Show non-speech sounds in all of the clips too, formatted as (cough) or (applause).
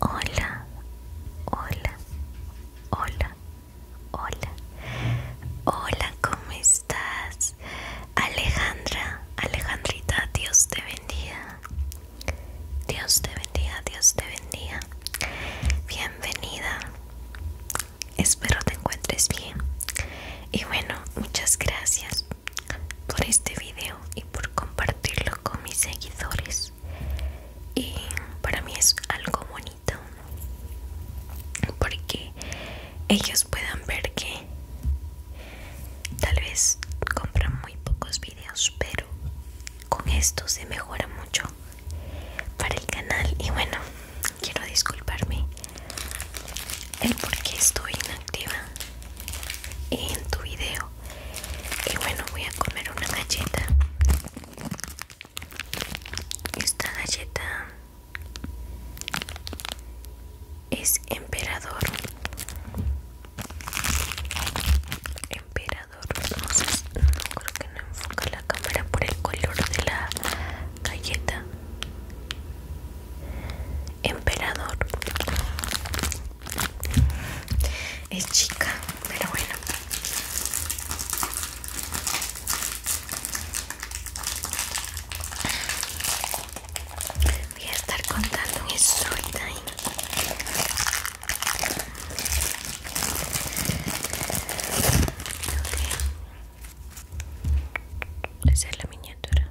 Hola, hola, hola, hola, hola, ¿cómo estás? Alejandra, Alejandrita, Dios te bendiga. Dios te bendiga, Dios te bendiga. Bienvenida. Espero te encuentres bien. Y bueno, muchas gracias por este video y por compartirlo con mis seguidores y para mí es algo bonito porque ellos puedan ver que tal vez compran muy pocos videos pero con esto se mejora mucho para el canal y bueno quiero disculparme el por qué estoy inactiva en tu video y bueno voy a comer una galleta esta galleta es emperador emperador no, sé, creo que no enfoca la cámara por el color de la galleta emperador es chica, pero bueno. Voy a estar contando un es la miniatura.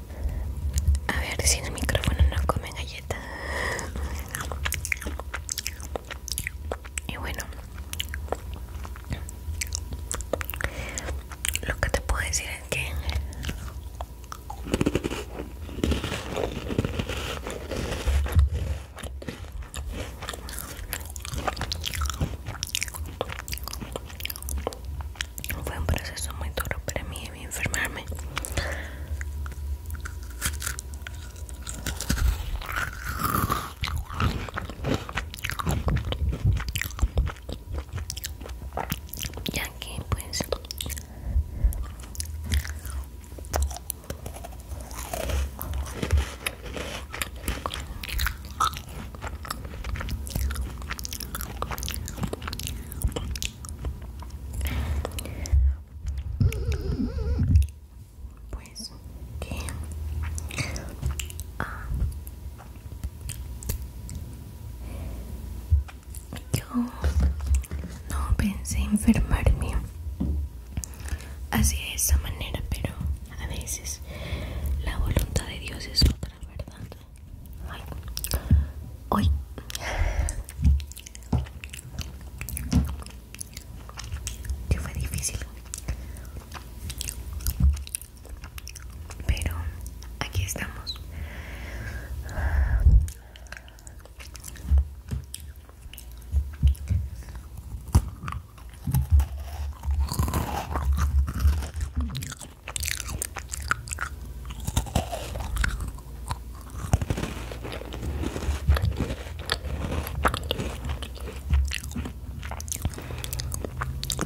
A ver si en el micrófono no comen galletas Y bueno, lo que te puedo decir es que fue un proceso muy duro para mí enfermarme ya que pues pues que ah. yo no pensé enfermarme así de esa manera, pero a veces la voluntad de Dios es otra, ¿verdad? Hoy fue difícil pero aquí estamos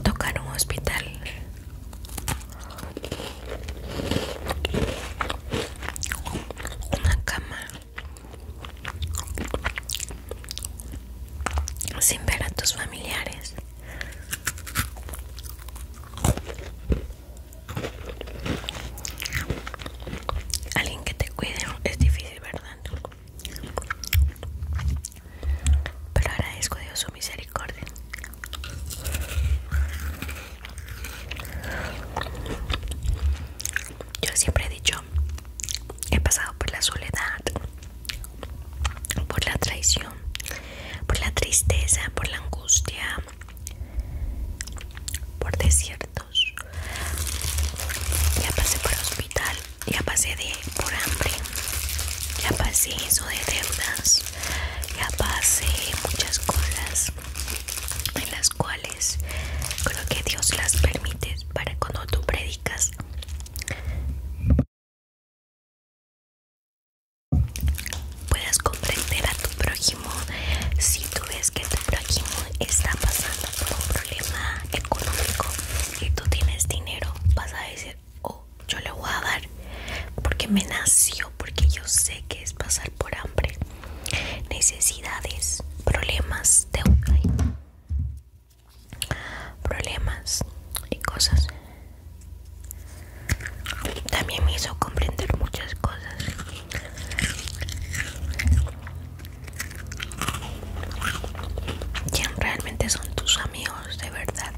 Tocar un hospital. Una cama. Sin ver a tus familiares. Alguien que te cuide es difícil, ¿verdad? Pero agradezco a Dios su misericordia. Yo siempre he dicho, he pasado por la soledad, por la traición, por la tristeza, por la angustia, por desiertos. Ya pasé por hospital, ya pasé de por hambre, ya pasé eso de deudas, ya pasé muchas cosas en las cuales creo que Dios las permite para cuando tú predicas Puedes comprender a tu prójimo si tú ves que tu prójimo está pasando por un problema económico y tú tienes dinero, vas a decir, oh, yo le voy a dar porque me nació, porque yo sé que es pasar por hambre, necesidades, problemas de Problemas y cosas también me hizo comprender muchas cosas. ¿Quién realmente son tus amigos de verdad?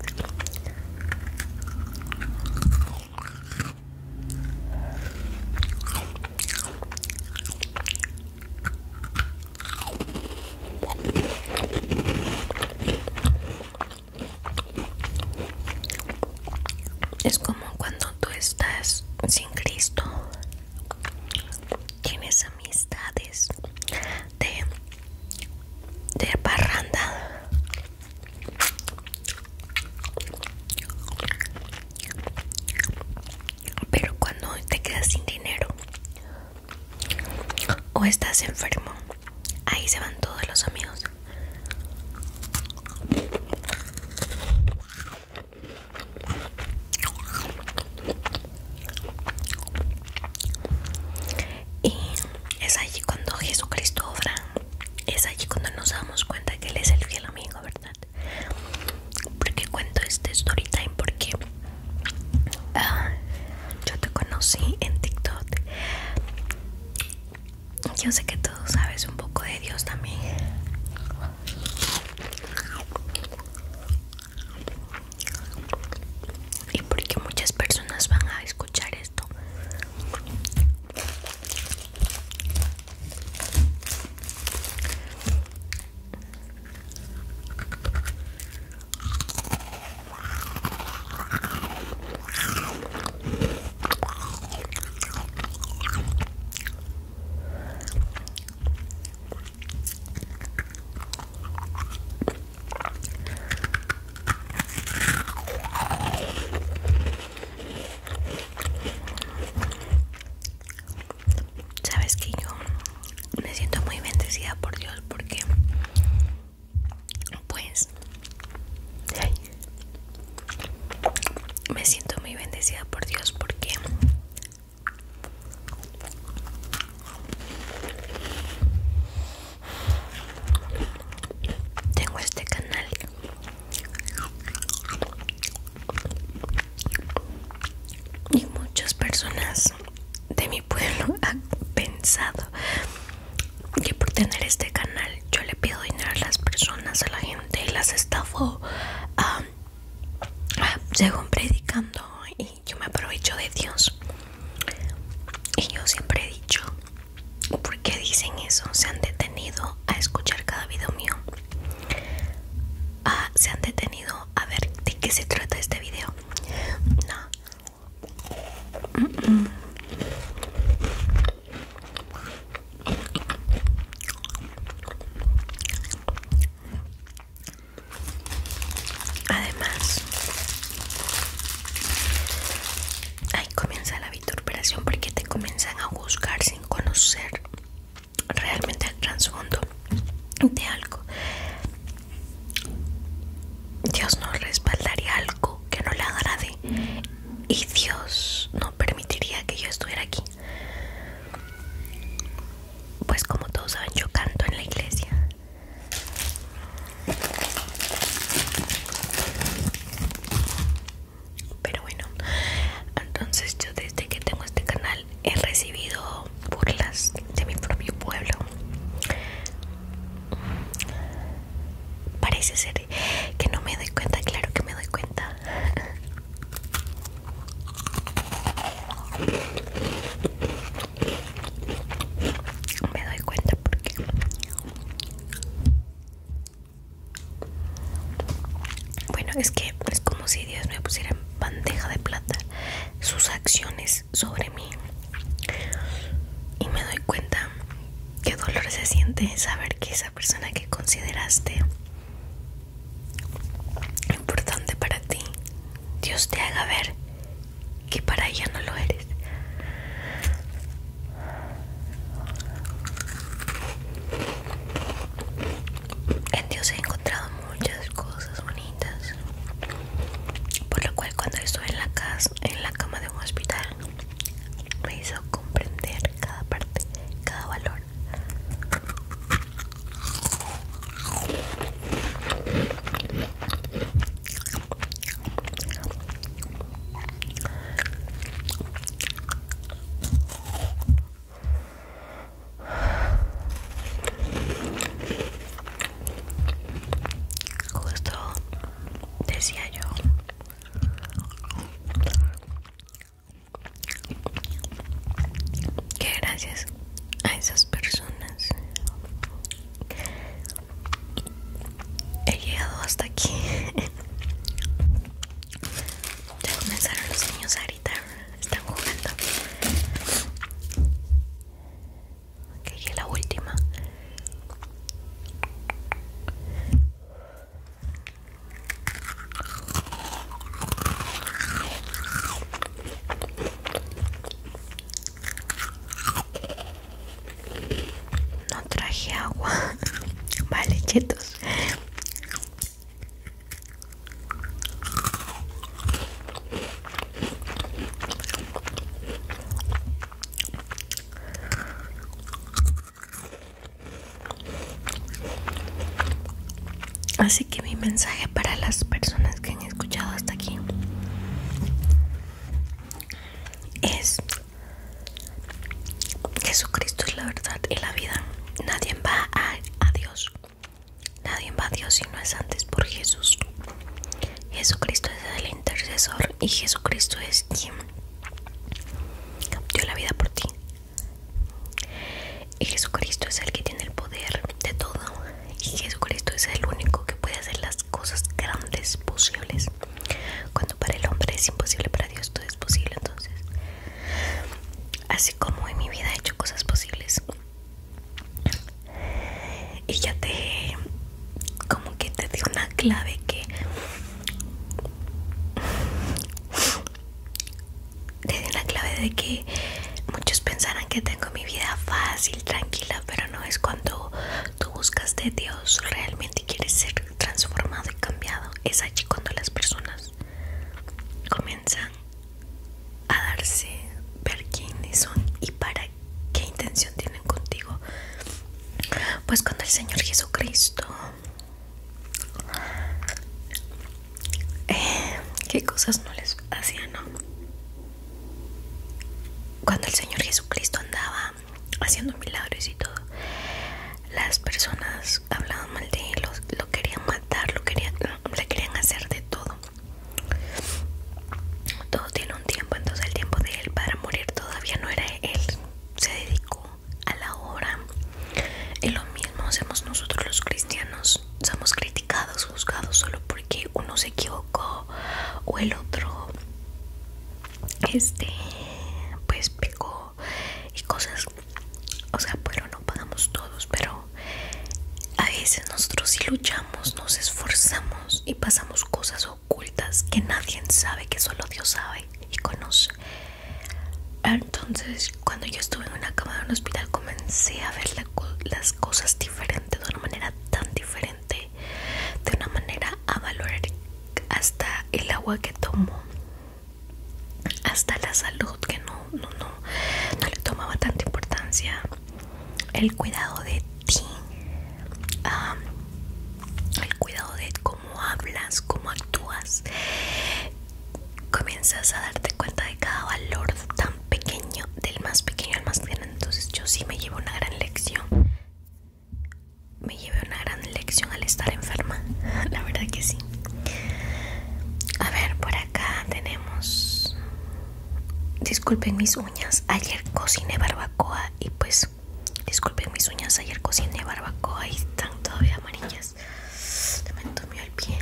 Es como cuando tú estás sin Cristo, tienes amistades de, de parranda. Pero cuando te quedas sin dinero o estás enfermo Ahí se van todos los amigos. Y es allí cuando Jesucristo obra, es allí cuando nos damos cuenta que Él es el fiel amigo, ¿verdad? Porque cuento este time? porque ah, yo te conocí en TikTok yo sé que tú sabes un poco de Dios también. Y porque muchas personas van a escuchar esto. Sabes que yo me siento muy bendecida por Dios porque pues me siento muy bendecida por Dios porque tengo este canal y muchas personas de mi pueblo (laughs) han pensado que por tener este canal yo le pido dinero a las personas, a la gente y las estafo um, predicando y yo me aprovecho de Dios. Y yo siempre he dicho, ¿por qué dicen eso? Se han detenido a escuchar cada video mío. Ah, se han detenido a ver de qué se trata este video. No, Además, ahí comienza la vituperación porque te comienzan a buscar sin conocer realmente el trasfondo de algo. Dios no respaldaría algo que no le agrade y Dios no permitiría que yo estuviera aquí. Pues como todos saben, yo canto en la iglesia. Pero bueno, entonces yo desde que tengo este canal he recibido burlas de mi propio pueblo. Parece ser que no me doy cuenta, claro que me doy cuenta. Me doy cuenta porque Bueno, es que es como si Dios me pusiera en bandeja de plata sus acciones sobre mí. Y me doy cuenta qué dolor se siente saber que esa persona que consideraste importante para ti, Dios te haga ver que para ella no lo eres. En Dios he encontrado muchas cosas bonitas, por lo cual cuando estuve en la casa, en la cama de un hospital, me hizo comprender cada parte, cada valor. Justo decía yo que gracias a esas personas he llegado hasta aquí ya comenzaron los niños ahorita, están jugando ok, y la última no traje agua. (laughs) Vale, chetos. Así que mi mensaje para las personas que han escuchado hasta aquí es Jesucristo es la verdad y la vida. Nadie va a, Dios. Nadie va a Dios si no es antes por Jesús. Jesucristo es el intercesor y Jesucristo es quien dio la vida por ti. Y Jesucristo es el que tiene el poder de todo. Y Jesucristo es el único que puede hacer las cosas grandes posibles. Cuando para el hombre es imposible, para Dios todo es posible. Entonces, así como en mi vida he hecho cosas posibles. Y ya te, como que te di una clave que te la clave de que muchos pensarán que tengo mi vida fácil, tranquila, pero no es cuando tú buscas de Dios, realmente quieres ser transformado y cambiado. Es allí cuando las personas comienzan a darse, ver quiénes son y para qué intención tienen contigo. Pues cuando el Señor Jesucristo eh, qué cosas no les hacían, ¿no? Cuando el Señor Jesucristo andaba haciendo milagros y todo, las personas hablaban mal de él, lo, querían matar, lo le querían hacer de todo. Todo tiene un tiempo, entonces el tiempo de él para morir todavía no era él. Se dedicó a la hora Y lo mismo hacemos nosotros los cristianos. Somos criticados, juzgados solo porque uno se equivocó o el otro este pues pecó y cosas. O sea, pero no pagamos todos, pero a veces nosotros si luchamos, nos esforzamos y pasamos cosas ocultas que nadie sabe, que solo Dios sabe y conoce. Ah, entonces, cuando yo estuve en una cama de un hospital, comencé a ver las cosas diferentes, de una manera tan diferente, de una manera a valorar hasta el agua que tomo, hasta la salud que no, no, no, le tomaba tanta importancia, el cuidado de ti, ah, el cuidado de hablas, cómo actúas. Comienzas a darte cuenta de cada valor tan pequeño, del más pequeño al más grande. Entonces yo sí me llevo una gran lección. Me llevo una gran lección al estar enferma. (laughs) La verdad que sí. A ver, por acá tenemos... Disculpen mis uñas. Ayer cociné barbacoa y pues Disculpe Disculpen mis uñas, ayer cociné barbacoa y están todavía amarillas. me entumió el pie.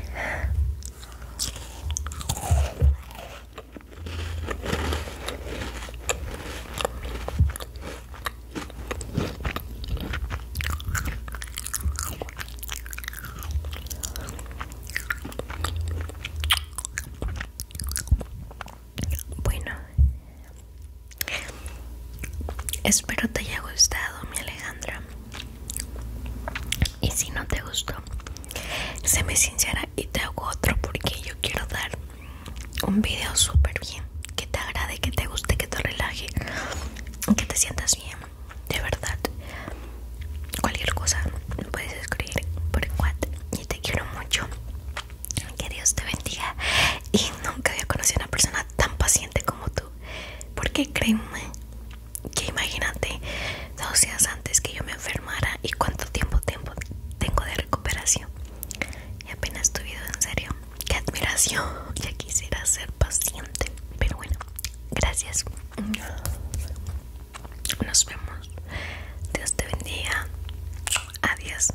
Bueno, Espero te haya gustado mi Alejandra Y si no te gustó Séme sincera y te hago otro Porque yo quiero dar un video súper bien Que te agrade, que te guste, que te relaje Que te sientas bien De verdad Cualquier cosa puedes escribir por WhatsApp Y te quiero mucho que Dios te bendiga y nunca había conocido a una persona tan paciente como tú. Porque créeme que imagínate dos días antes que yo me enfermara y cuánto tiempo, tengo de recuperación. Y apenas tu vida en serio. Qué admiración. Ya quisiera ser paciente. Pero bueno, gracias. Nos vemos. Dios te bendiga. Adiós.